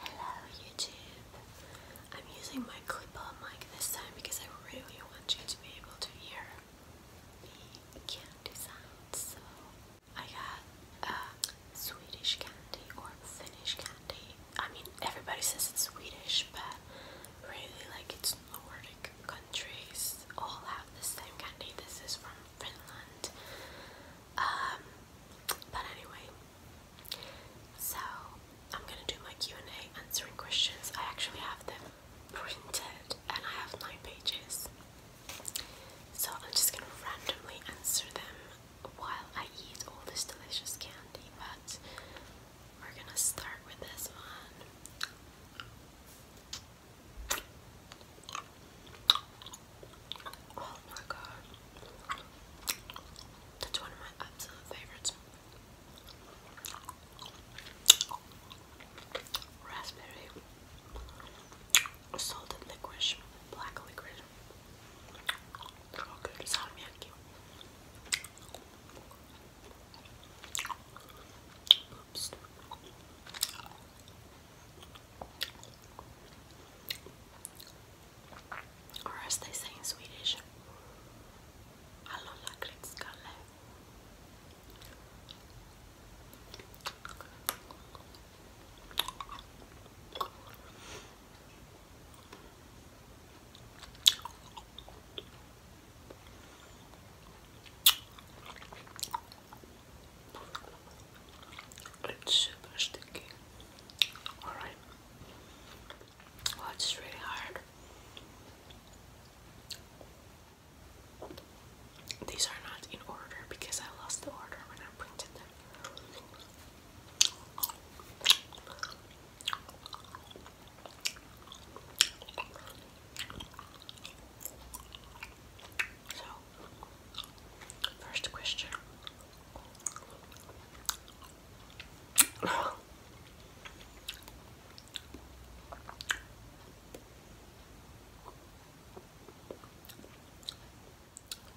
Hello YouTube. I'm using my clip-on mic this time because I really want you to be able to hear the candy sounds. So I got uh, Swedish candy or Finnish candy. I mean everybody says it's Swedish but really like it's Nordic countries all have the same candy. This is from Finland. Um, but anyway, so I'm gonna do my Q&A answering questions. I actually have them printed and I have nine pages. So I'm just gonna randomly answer them while I eat all this delicious candy, but we're gonna start with this one. Oh my god. That's one of my absolute favorites. Raspberry, salted licorice, black licorice. Oh, good salmiakki. Oops. Or as they say in Swedish, Hallå lakritsskalle. Ett superstycke. Alright. Well, it's really hard. These are not in order because I lost the order when I printed them. So, first question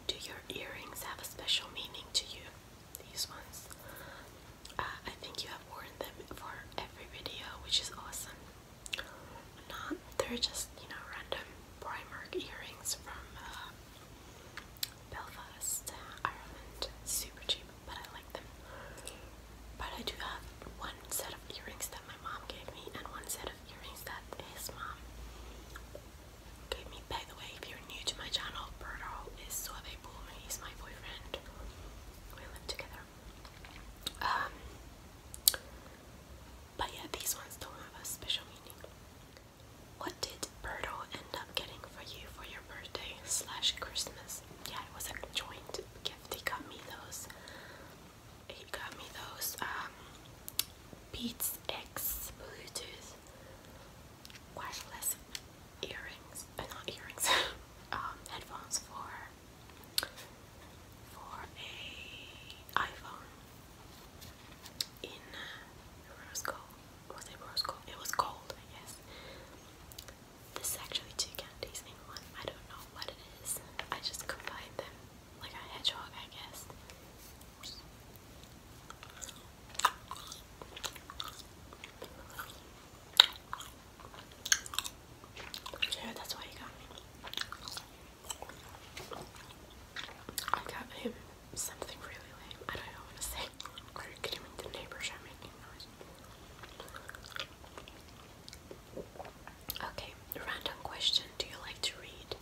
do your earrings have a special meaning to you? These ones? Uh, I think you have worn them for every video, which is awesome. Not, they're just, you know, random Primark earrings from uh, Belfast, Ireland, super cheap, but I like them. But I do have one set of earrings that my mom gave me, and one set of earrings that his mom gave me. By the way, if you're new to my channel, Berto is Suave Boom, he's my boyfriend. We live together. Um, but yeah, these ones don't have a special meaning. What did Bertle end up getting for you for your birthday slash Christmas? Yeah, it was a joint gift. He got me those. He got me those um, Beats X Bluetooth wireless earrings, uh, not earrings, um, headphones for for a iPhone in uh, was it rose gold? It was gold, I guess. This is actually two candies in one. I don't know what it is. I just combined them like a hedgehog, I guess. Yeah, that's why he got me. I got him something really lame. I don't know what to say. Are you kidding me? The neighbors are making noise. Okay, random question. Do you like to read?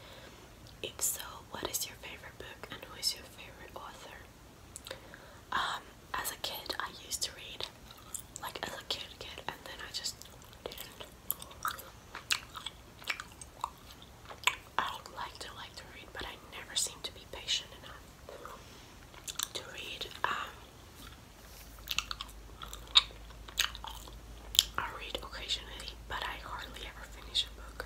If so, what is your favorite book and who is your favorite author? Um, as a kid, I used to read, like as a kid, kid, and then I just didn't. I would like to like to read, but I never seem to be patient enough to read. Um, I read occasionally, but I hardly ever finish a book.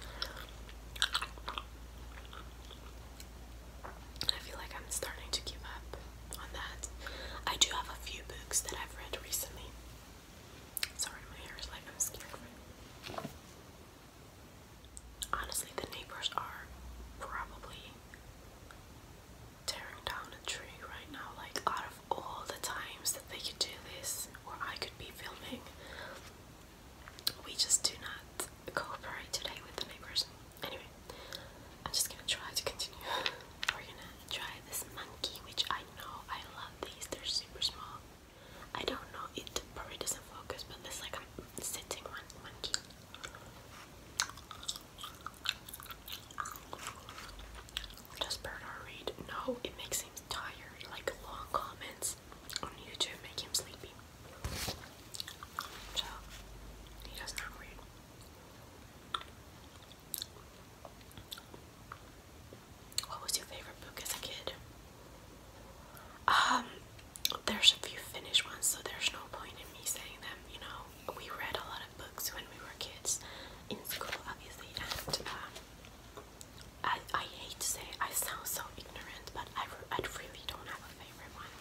I feel like I'm starting to give up on that. I do have a few books that I've read recently. Sorry, my hair is like I'm scared Honestly, the neighbors are probably tearing down a tree right now. Like, out of all the times that they could do this, or I could be filming, we just do not cooperate today with the neighbors. Anyway, I'm just gonna try to continue. We're gonna try this monkey, which I know I love these, they're super small. I don't know, it probably doesn't focus, but there's like a sitting one monkey. Does Bernard read? No, it makes him tired. Like long comments on YouTube make him sleepy. he does not read. What was your favorite book as a kid? Um, there's a few finished ones, so there's no point in me saying them. You know, we read a lot of books when we were kids in school, obviously, and um, I I hate to say I sound so ignorant, but I I really don't have a favorite one.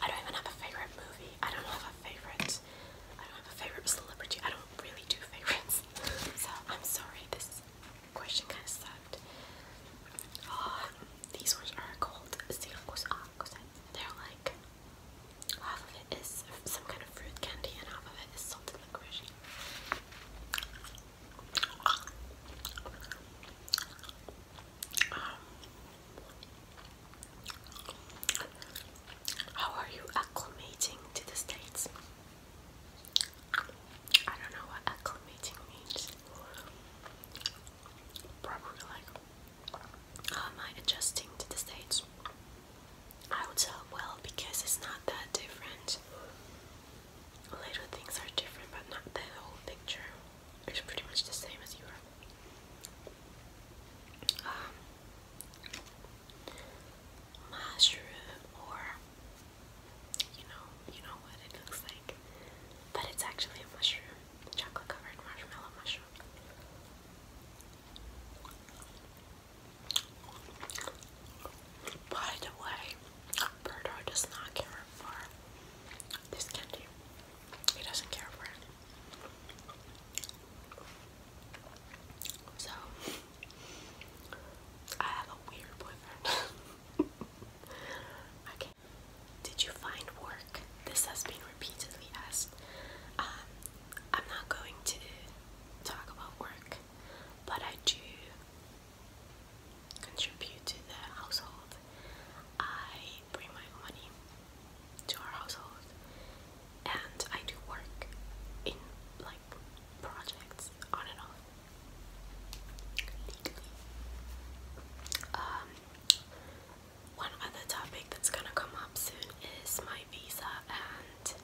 I don't even have a favorite movie. I don't have a favorite. I don't have a favorite celebrity. I don't really do favorites, so I'm sorry. This question kind of sucked. Uh, these ones are called Siracuse They're like, half of it is some kind of fruit candy and half of it is salted licorice. Um, how are you acclimating to the States? I don't know what acclimating means. Probably like, am I adjusting to the States? I would tell well because it's not that different. Little things are different, but not the whole picture. It's pretty much the same as Europe. Um, mushroom or you know, you know what it looks like. But it's actually a mushroom, chocolate covered marshmallow mushroom. By the way, Birdo does not care for this candy. He doesn't care for it. So I have a weird boyfriend. Okay. Did you find work? This has been repeatedly asked. Um, I'm not going to talk about work, but I do contribute to the household. I bring my money to our household, and I do work in like projects on and off. Um, one other topic that's gonna come up soon is my visa, and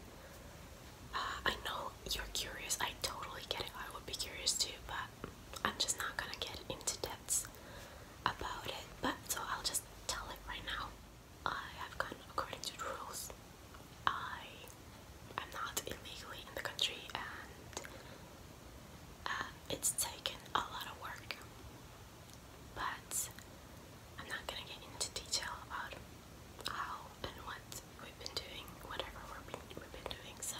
uh, I know you're curious. I totally get it. I would be curious too, but I'm just not gonna get into depths about it. But so I'll just tell it right now. I have gone according to rules. I am not illegally in the country, and uh, it's taken a lot of work, but I'm not gonna get into detail about how and what we've been doing, whatever we've been doing. So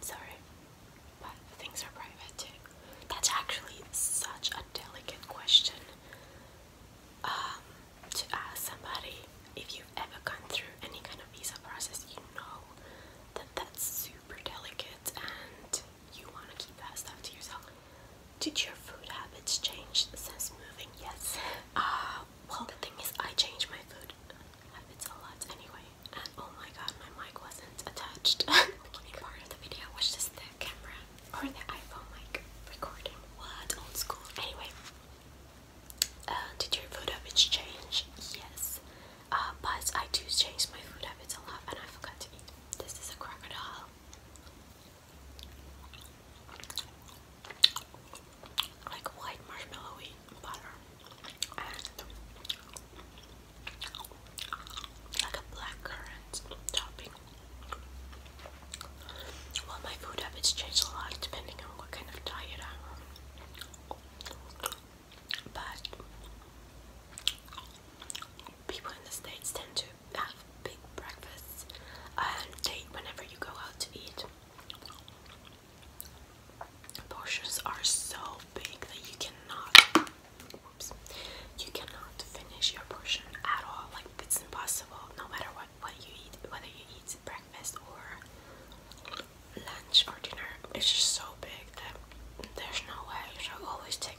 sorry, but things are private too. That's actually such a delicate question. Um, to ask somebody if you've ever gone through any kind of visa process, you know that that's super delicate and you want to keep that stuff to yourself. Did your food habits change since moving? Yes. Uh, well, the thing is, I changed my food habits a lot anyway. And oh my god, my mic wasn't attached. Beginning part of the video was just the camera or the iPhone mic recording. What old school. Anyway, uh, did your food habits change? Yes, uh, but I do change my food habits a lot, and I forgot to eat. This is a crocodile. Like white marshmallowy butter, and like a black topping. Well, my food habits change a lot depending on what kind of diet I'm on. But people in the States tend to have big breakfasts and date whenever you go out to eat. Portions are so big that you cannot whoops, you cannot finish your portion at all. Like it's impossible no matter what what what you eat, whether you eat breakfast or lunch or dinner, it's just so big that there's no way. You should always take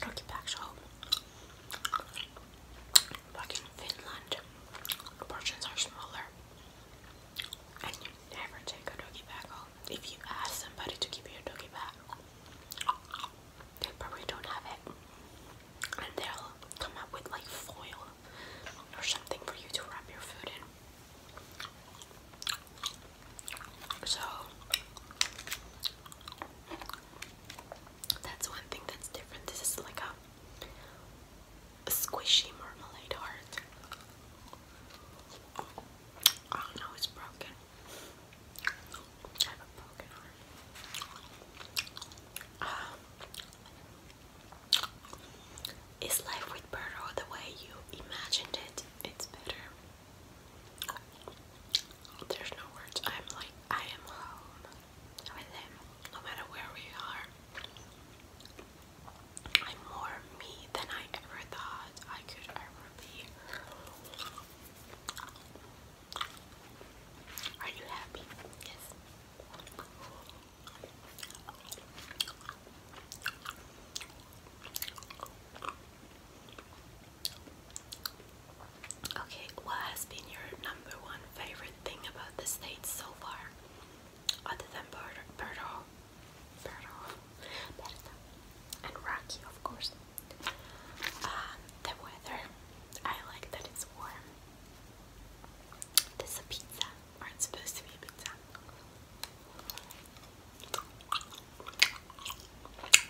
turkey back home. Like in Finland, the portions are smaller, and you never take a doggy bag home. If you ask somebody to give you a doggy they probably don't have it, and they'll come up with like foil or something for you to wrap your food in. So that's one thing that's different. This is like a, squishy marmalade heart. Oh no, it's broken. I have a broken heart. Ah. Is life with Burrow the way you imagined it? It's better. There's no words. I'm like I am home with him, no matter where we are. I'm more me than I ever thought I could ever be. Are you happy? Yes. Okay, what has been your number one favorite thing about the States so far? Other than Berto, Berto, Berta, and Rocky, of course. Um, the weather. I like that it's warm. There's a pizza aren't supposed to be pizza.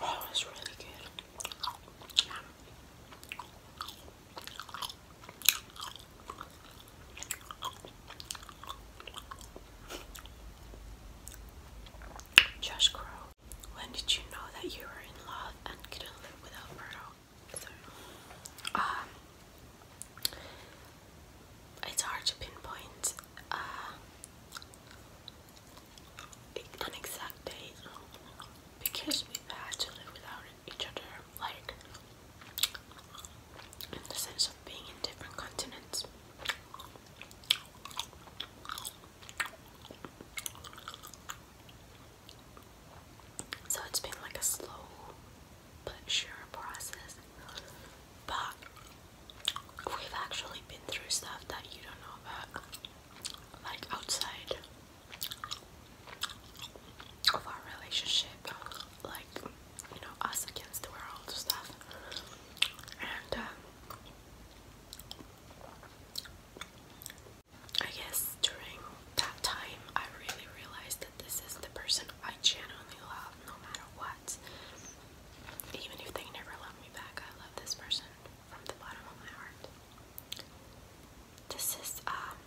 Oh, it's really good. Josh Crow, when did you know that you were in love and couldn't live without Murdo? Um, it's hard to pinpoint uh, an exact date because we had to live without each other, like in the sense of being in different continents. So it's been like a slow but sure process. But we've actually been through stuff that you don't know about, like outside of our relationship, like you know, us against the world stuff. And um, I guess during that time, I really realized that this is the person I genuinely love no matter what. Even if they never love me back, I love this person from the bottom of my heart. This is um,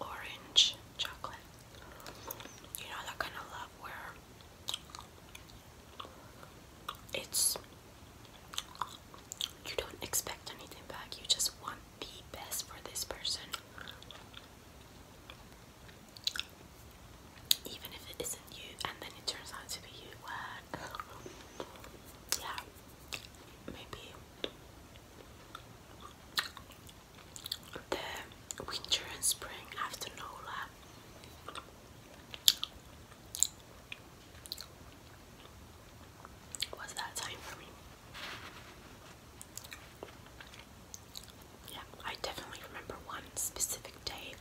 orange chocolate. You know that kind of love where it's you don't expect anything back, you just want the best for this person even if it isn't you and then it turns out to be you yeah maybe the winter and spring after Nola was that time for me yeah, I definitely remember one specific day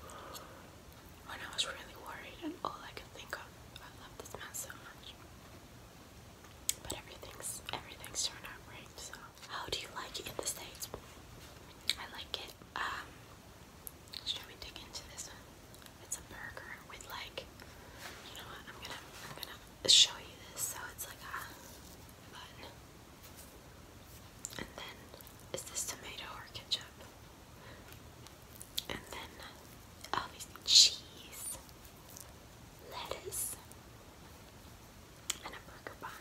when I was really worried, and all I could think of, I love this man so much. But everything's everything's turned out right. So, how do you like it in the states? I like it. Um, should we dig into this one? It's a burger with like, you know what? I'm gonna I'm gonna show you this so it's like a And then, is this tomato or ketchup? And then, obviously, cheese, lettuce, and a burger bun.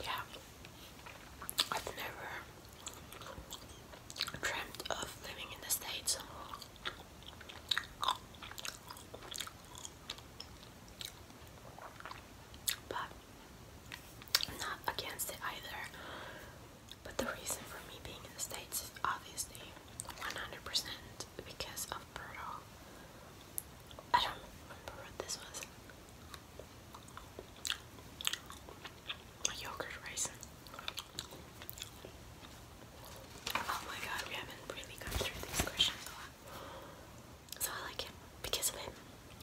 Yeah, I've never dreamt of living in the States. But I'm not against it either. But the reason for me being in the States is obviously 100% because of Brutal. I don't remember what this was. yogurt raisin. Oh my god, we haven't really gone through these questions a lot. So I like him because of him.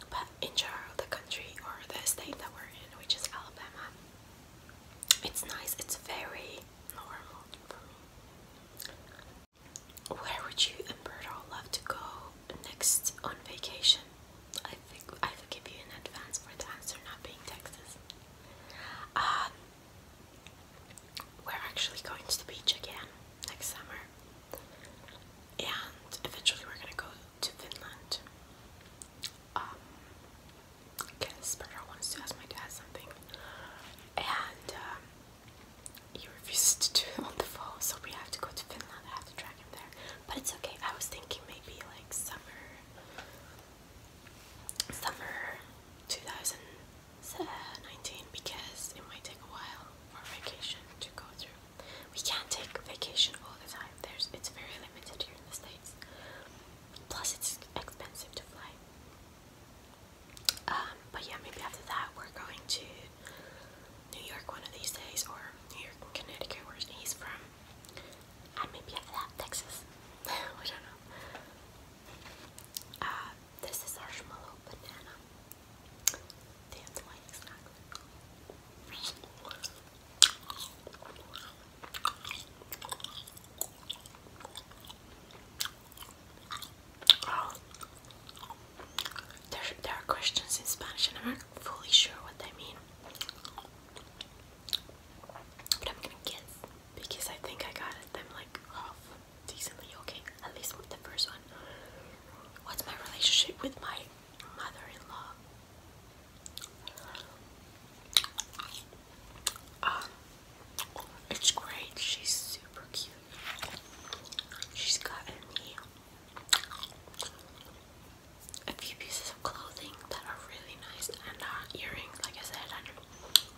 But in general, the country or the state that we're in, which is Alabama, it's nice. It's very normal where would you and Bird all love to go next on vacation? I forgive you in advance for the answer not being Texas. Um, we're actually going to the beach again next summer, and eventually we're gonna go to Finland. Um, wants to ask my dad something, and um, he refuses to do it on the phone, so we have to go to Finland. I have to drag him there, but it's okay. I was thinking maybe like summer, summer 2019, because it might take a while for vacation to go through. We can't take vacation all the time. There's it's very limited here in the states. Plus, it's expensive to fly. Um, but yeah, maybe after that we're going to New York one of these days, or New York Connecticut, where he's from, and maybe after that Texas. I don't know. Uh, this is our marshmallow banana. That's why it's not. There, there are questions in Spanish and I'm not fully sure what they mean. But I'm gonna guess because I think I got them like half decently okay, at least with the first one. What's my relationship with my mother-in-law? Um, it's great. She's super cute. She's gotten me a few pieces of clothing that are really nice and uh, earrings, like I said.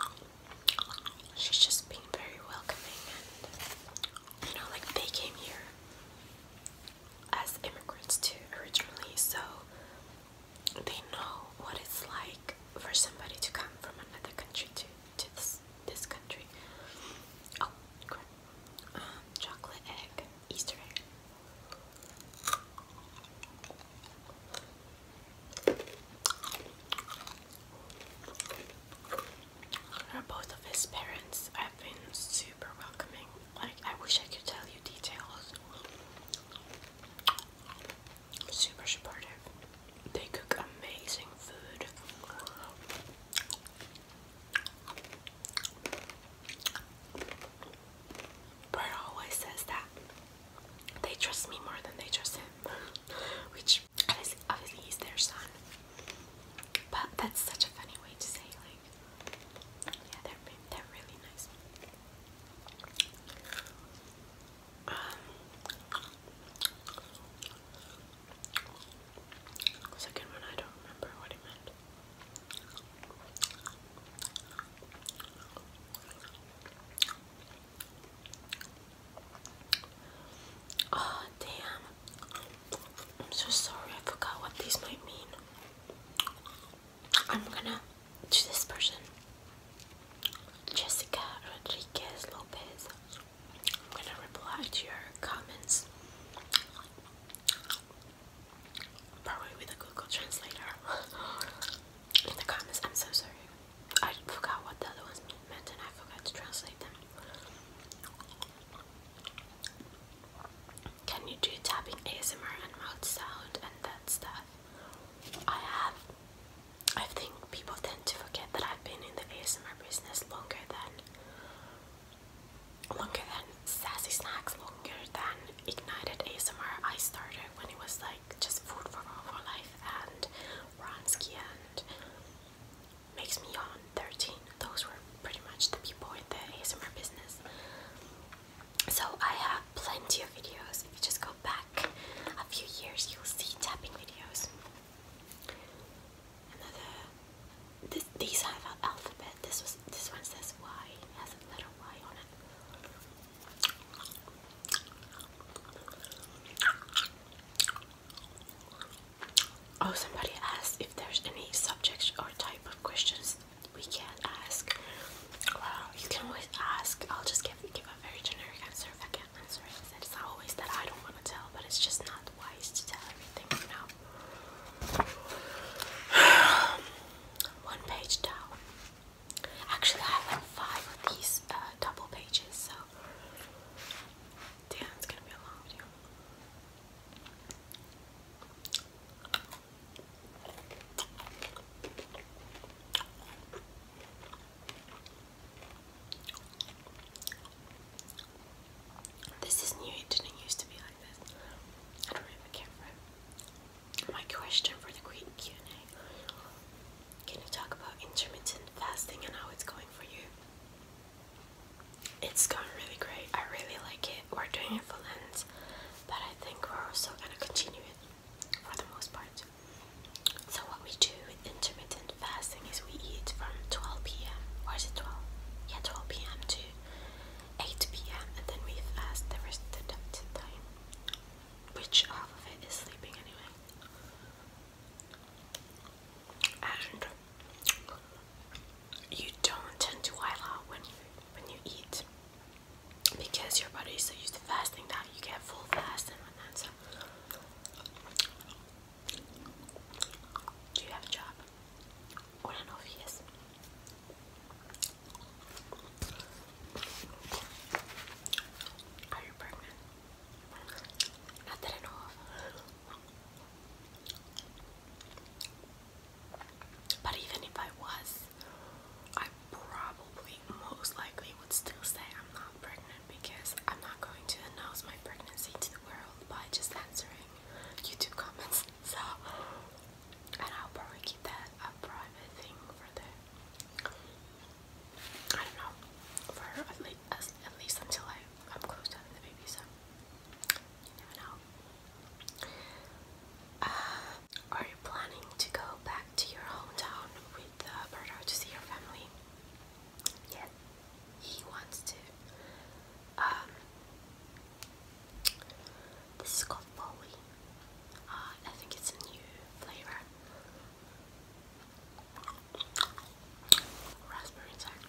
And she's just being very welcoming, and you know, like they came here as immigrants too originally, so they know what it's like for somebody to come from another country to to this this country. Oh, um, chocolate egg, Easter egg. Both of his parents have been super welcoming. Like, I wish I could tell you details. Super supportive. They cook amazing food. Bert always says that they trust me more than they trust him, which obviously he's their son. But that's such a funny way to say, like, yeah, they're they're really nice. Um, Second one, I don't remember what it meant. Oh, damn. I'm so sorry, I forgot what these might mean. I'm gonna to this person Jessica Rodriguez Lopez. I'm gonna reply to your comments probably with a Google translator in the comments. I'm so sorry. I forgot what the other ones meant and I forgot to translate them. Can you do tapping ASMR and mouth sound and that stuff? I have. I think people tend to forget that I've been in the ASMR business longer than longer than Sassy Snacks, longer than Ignited ASMR. I started when it was like just food for all for life and Ronsky and Makes Me Yawn 13. Those were pretty much the people in the ASMR business. So I have plenty of videos. If you just go back a few years, you'll see tapping videos another. these have an alphabet. This was this one says Y. has a letter Y on it. Oh, somebody asked if there's any subjects or type of questions we can't ask. Well, you can always ask. I'll just give give a very generic answer if I can't answer it. It's not always that I don't want to tell, but it's just not not wise to tell everything, you know. One page down. Actually, I have like five of these uh, double pages, so damn, gonna be a long video. This is new, it didn't used to be like this. I don't really My question for the Greek Q&A, can you talk about intermittent fasting and how it's going for you? It's going really great, I really like it. We're doing it for Lent, but I think we're also gonna continue it for the most part. So what we do with intermittent intermittent fasting is we eat from 12 p.m. or is it 12? Yeah, 12 p.m. to 8 p.m. and then we fast the rest of the time, which half of it is sleeping anyway. And you don't tend to while when you when you eat because your body is so used to fasting that you get full fast do you have a job? I don't know if he Are you pregnant? Not that I know of. But even if I was, I probably most likely would still say I'm not pregnant because I'm not going to announce my pregnancy to the world by just answering YouTube comments. So, and I'll probably keep that a private thing for the, I don't know, for at least, at least until I, i close to the baby, so you never know. Uh, are you planning to go back to your hometown with uh, Berto to see your family? yet he wants to. Um, this is called Folly. Uh, I think it's a new flavor. Raspberry inside.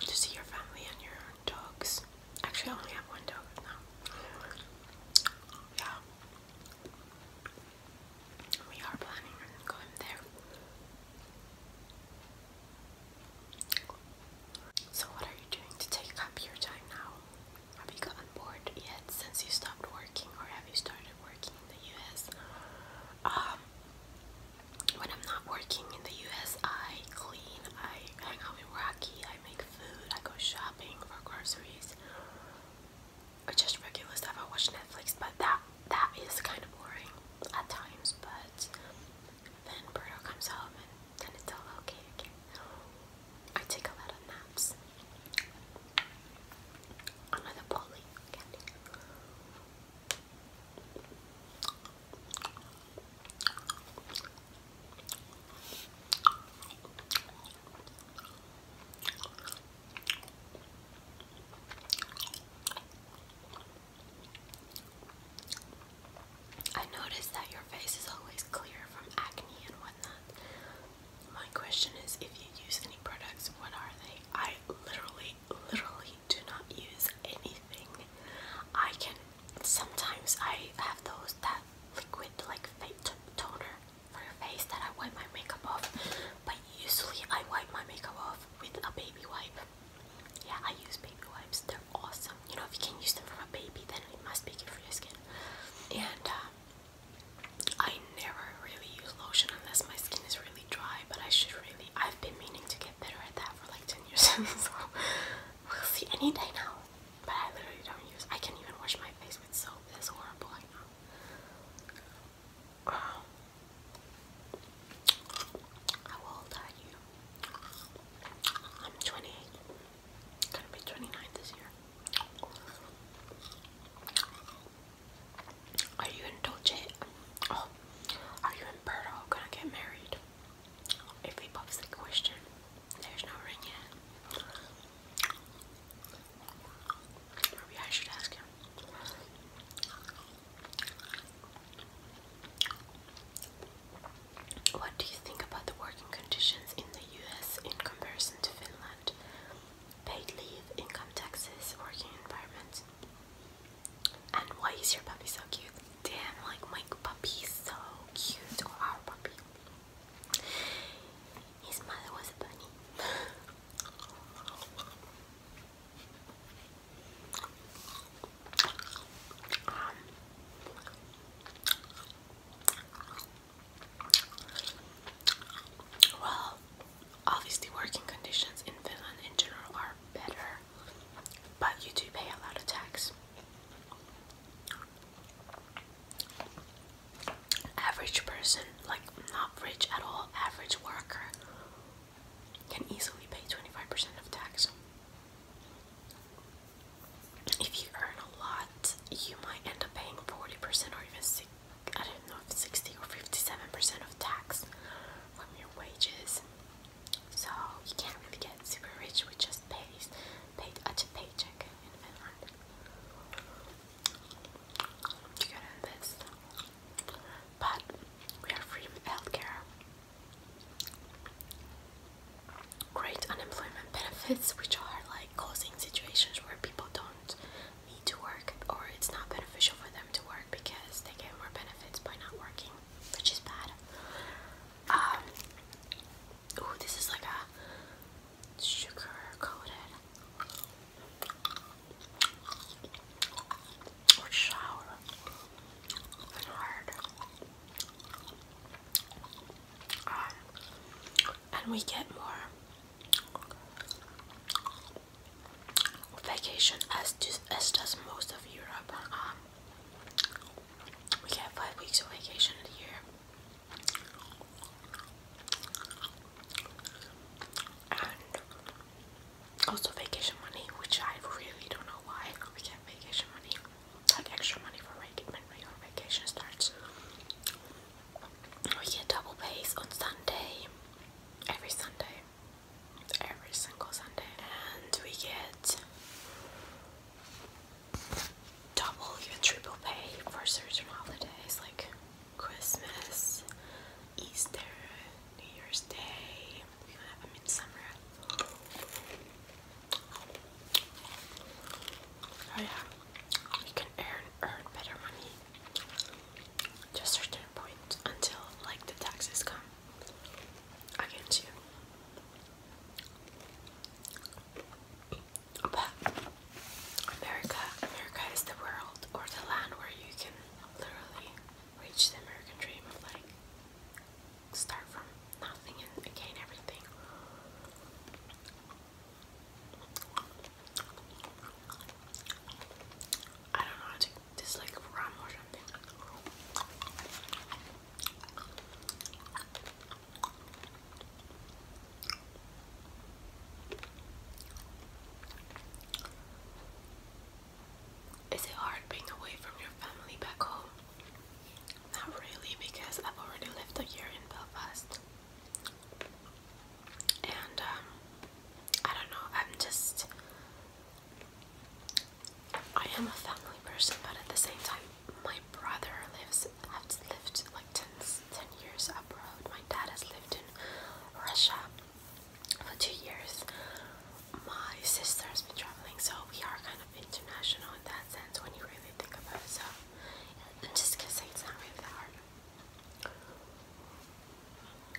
To see your family and your dogs. Actually, I only have one dog now. Yeah. We are planning on going there. So, what are you doing to take up your time now? Have you gotten bored yet since you stopped working, or have you started working in the US? Um, when I'm not working in the US, I clean, I hang out with Rocky, I make food, I go shopping for groceries. I just regular stuff. I watch Netflix, but that that is kind of boring at times. But then Birdo comes home and then it's all okay I take a lot of naps. Another poly candy. I notice that your face is always clear from acne and whatnot. My question is if you use any products, what are they? I literally, literally do not use anything. I can, sometimes I have those, that liquid like fake toner for your face that I wipe my makeup off. But usually I wipe my makeup off with a baby wipe. Yeah, I use baby wipes. They're awesome. You know, if you can use them for a baby, then it must be good for your skin. And uh, I never really use lotion unless my skin is really dry. But I should really. I've been meaning to get better at that for like ten years. so we'll see any day now. But I literally don't use. I can even wash my face with soap. That's horrible. How old are you? I'm 28. Gonna be 29 this year. Are you in Dolce? Oh, are you in Berto? Gonna get married? If he pops the question, there's no ring yet. What do you think about the working conditions in the US in comparison to Finland? Paid leave, income taxes, working environment. And why is your puppy so cute? Damn, like my puppy is so cute, or our puppy. His mother was a bunny well, obviously, working conditions in Finland in general are better, but you do pay a lot of tax. Average person, like not rich at all, average worker can easily pay 25% of tax. If you earn a lot, you might end up paying 40% or even I don't know 60 or 57% of tax from your wages. So you can't really get super rich with just pays paid a uh, paycheck in Finland. But we are free healthcare, great unemployment benefits, which are like causing situations where people don't need to work or it's not beneficial for them to work because they get more benefits by not working, which is bad. Um, this is like a sugar coated. Ah. and we get more vacation as does, as does most of Europe. Um, we get five weeks of vacation a year. Also vacation money, which I really don't know why we get vacation money, like extra money for when your vacation starts. We get double pay on Sunday, every Sunday, every single Sunday, and we get double, even triple pay for certain holidays, like Christmas, Easter, New Year's Day. We gonna have them in Oh yeah, we can earn earn better money to certain point until like the taxes come against you. America, America is the world or the land where you can literally reach the American dream of like start from nothing and gain everything. I don't know how to this like or something. Is it hard being away from your family back home? Not really, because I've already lived a year in Belfast. And um, I don't know, I'm just. I am a family person, but at the same time, my brother lives. I've lived like 10, 10 years abroad. My dad has lived in Russia for two years. My sister's been traveling, so we are kind of international in that sense when you really think about it. So, and just because it's not really that hard.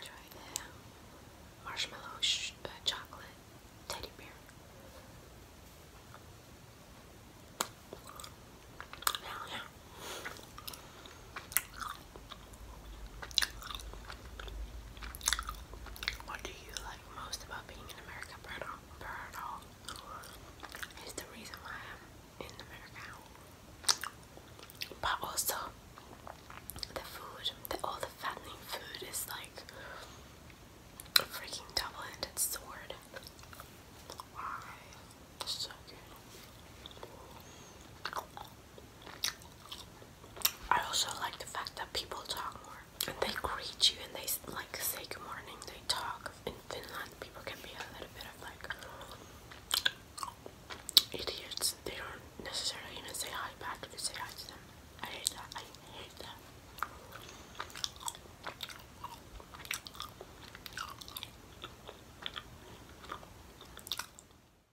Try the marshmallow sh uh, chocolate teddy bear. What do you like most about being in America, But also, the food, all the fattening food is like freaking double ended sword. Why? So good. I also like the fact that people talk more and they greet you and they like say good morning. They talk in Finland. People can be a little bit of like idiots. They don't necessarily even say hi back if you say hi to them. I hate that. I hate that.